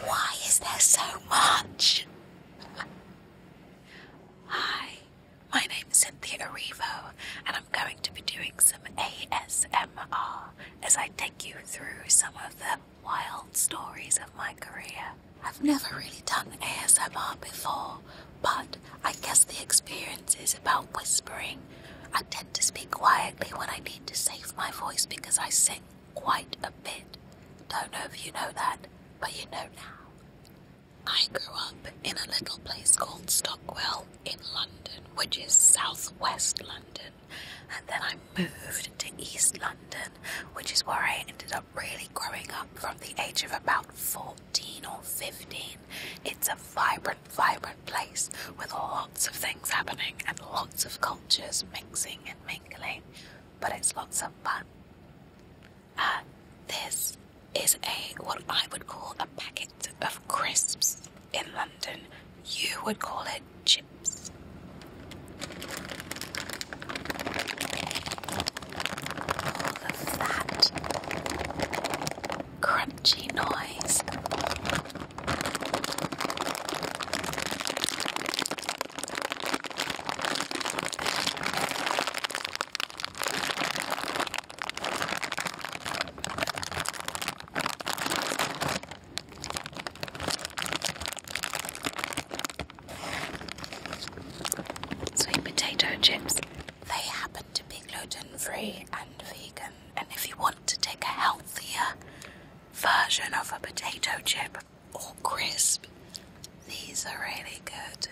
Why is there so much? Hi, my name is Cynthia Arivo, and I'm going to be doing some ASMR as I take you through some of the wild stories of my career. I've never really done ASMR before, but I guess the experience is about whispering. I tend to speak quietly when I need to save my voice because I sing quite a bit. Don't know if you know that, but you know now. I grew up in a little place called Stockwell in London, which is southwest London, and then I moved to East London, which is where I ended up really growing up from the age of about 14 or 15. It's a vibrant, vibrant place with lots of things happening and lots of cultures mixing and mingling, but it's lots of fun. Uh, this is a what I would call a packet of crisps in London. You would call it chips. All of that crunchy noise. Sweet potato chips they happen to be gluten free and vegan. And if you want to take a healthier version of a potato chip or crisp, these are really good.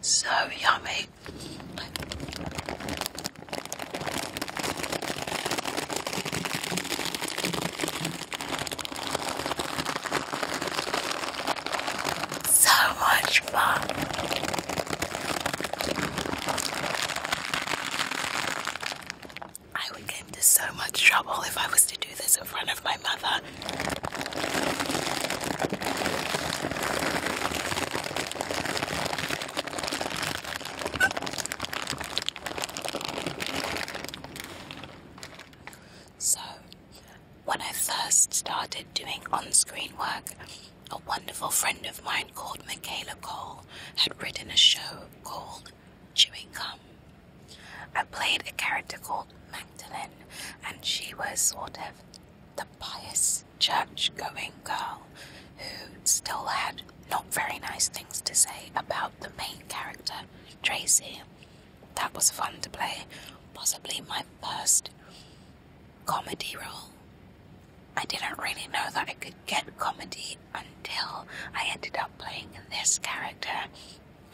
So yummy. So much fun. I would get into so much trouble if I was to this in front of my mother. So, when I first started doing on screen work, a wonderful friend of mine called Michaela Cole had written a show called Chewing Gum I played a character called Magdalene, and she was sort of the pious church going girl who still had not very nice things to say about the main character, Tracy. That was fun to play, possibly my first comedy role. I didn't really know that I could get comedy until I ended up playing this character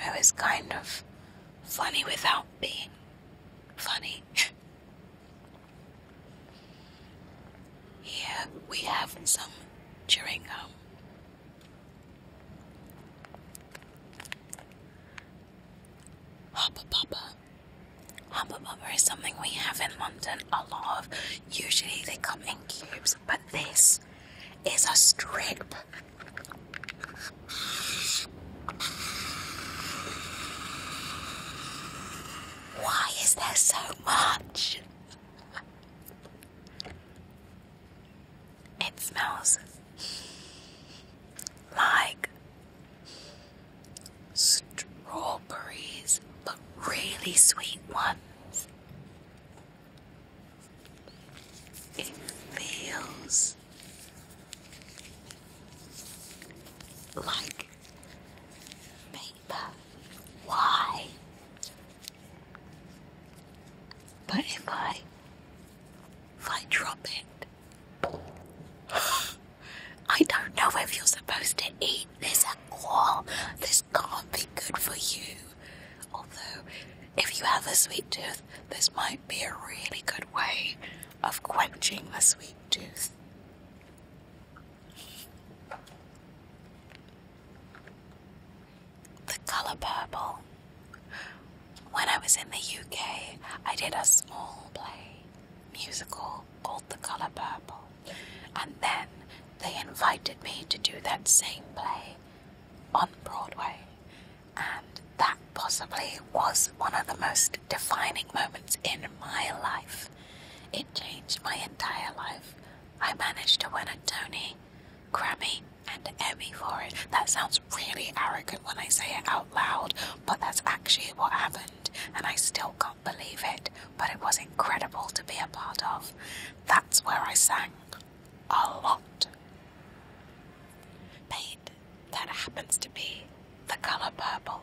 it was kind of funny without being funny. Here we have some chewing gum. Hopper Popper. is something we have in London a lot of. Usually they come in cubes, but this is a strip. Why is there so much? It smells like strawberries, but really sweet ones. It feels like paper. Why? But if I if I drop it, I don't know if you're supposed to eat this at all. This can't be good for you. Although, if you have a sweet tooth, this might be a really good way of quenching the sweet tooth. The color purple. When I was in the UK, I did a small play musical called The Color Purple, and then they invited me to do that same play on Broadway and that possibly was one of the most defining moments in my life. It changed my entire life. I managed to win a Tony, Grammy, and Emmy for it. That sounds really arrogant when I say it out loud, but that's actually what happened, and I still can't believe it. But it was incredible to be a part of. That's where I sang a lot. Paint that happens to be the color purple.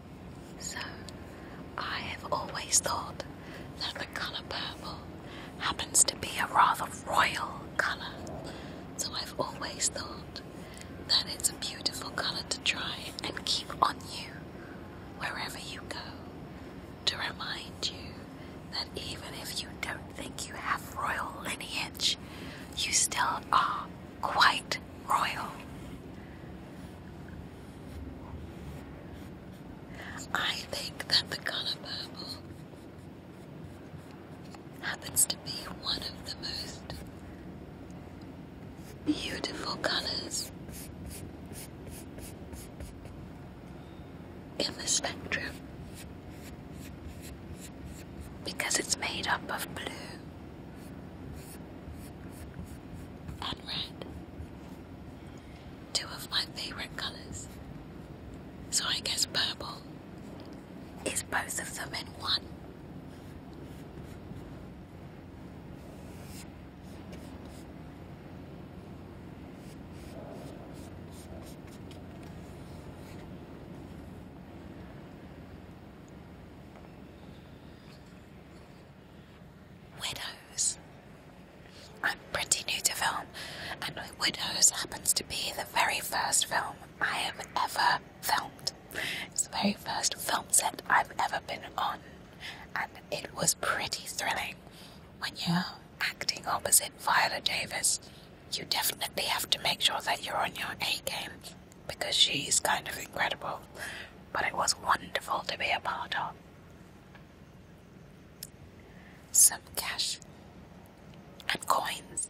So, I have always thought that the colour purple happens to be a rather royal colour. So, I've always thought that it's a beautiful colour to try and keep on you wherever you go to remind you that even if you don't think you have royal lineage, you still are quite royal. I think that the color purple happens to be one of the most beautiful colors in the spectrum because it's made up of blue and red. Two of my favorite colors. So I guess purple is both of them in one. Widows. I'm pretty new to film, and Widows happens to be the very first film I have ever filmed. It's the very first film set I've ever been on, and it was pretty thrilling. When you're acting opposite Viola Davis, you definitely have to make sure that you're on your A game because she's kind of incredible, but it was wonderful to be a part of. Some cash and coins.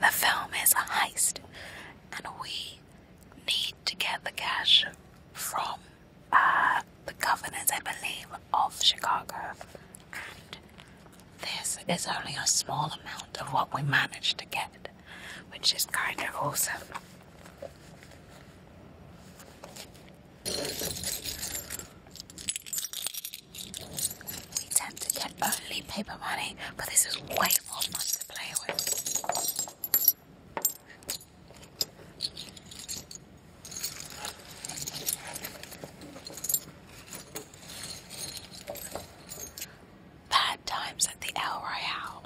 the film is a heist, and we need to get the cash from uh, the governors, I believe, of Chicago. And this is only a small amount of what we managed to get, which is kind of awesome. We tend to get only paper money, but this is way Bad Times at the El Royale.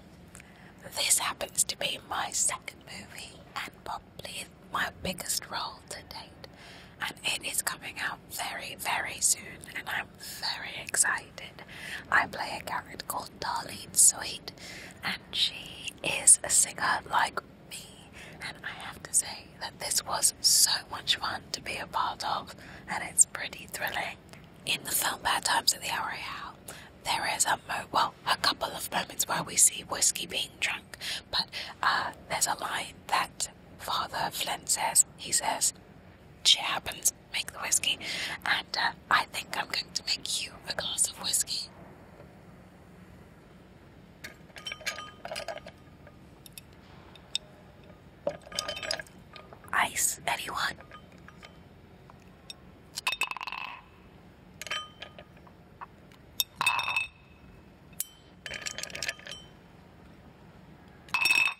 This happens to be my second movie and probably my biggest role to date, and it is coming out very, very soon, and I'm very excited. I play a character called Darlene Sweet, and she is a singer like me, and I have to say that this was so much fun to be a part of, and it's pretty thrilling. In the film Bad Times at the Arrow, there is a mo well, a couple of moments where we see whiskey being drunk, but uh, there's a line that Father Flynn says. He says, she happens to make the whiskey, and uh, I think I'm going to make you a glass of whiskey. Ice, anyone?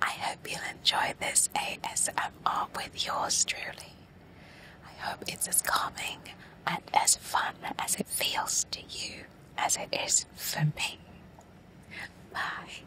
I hope you'll enjoy this ASMR with yours truly. I hope it's as calming and as fun as it feels to you as it is for me. Bye.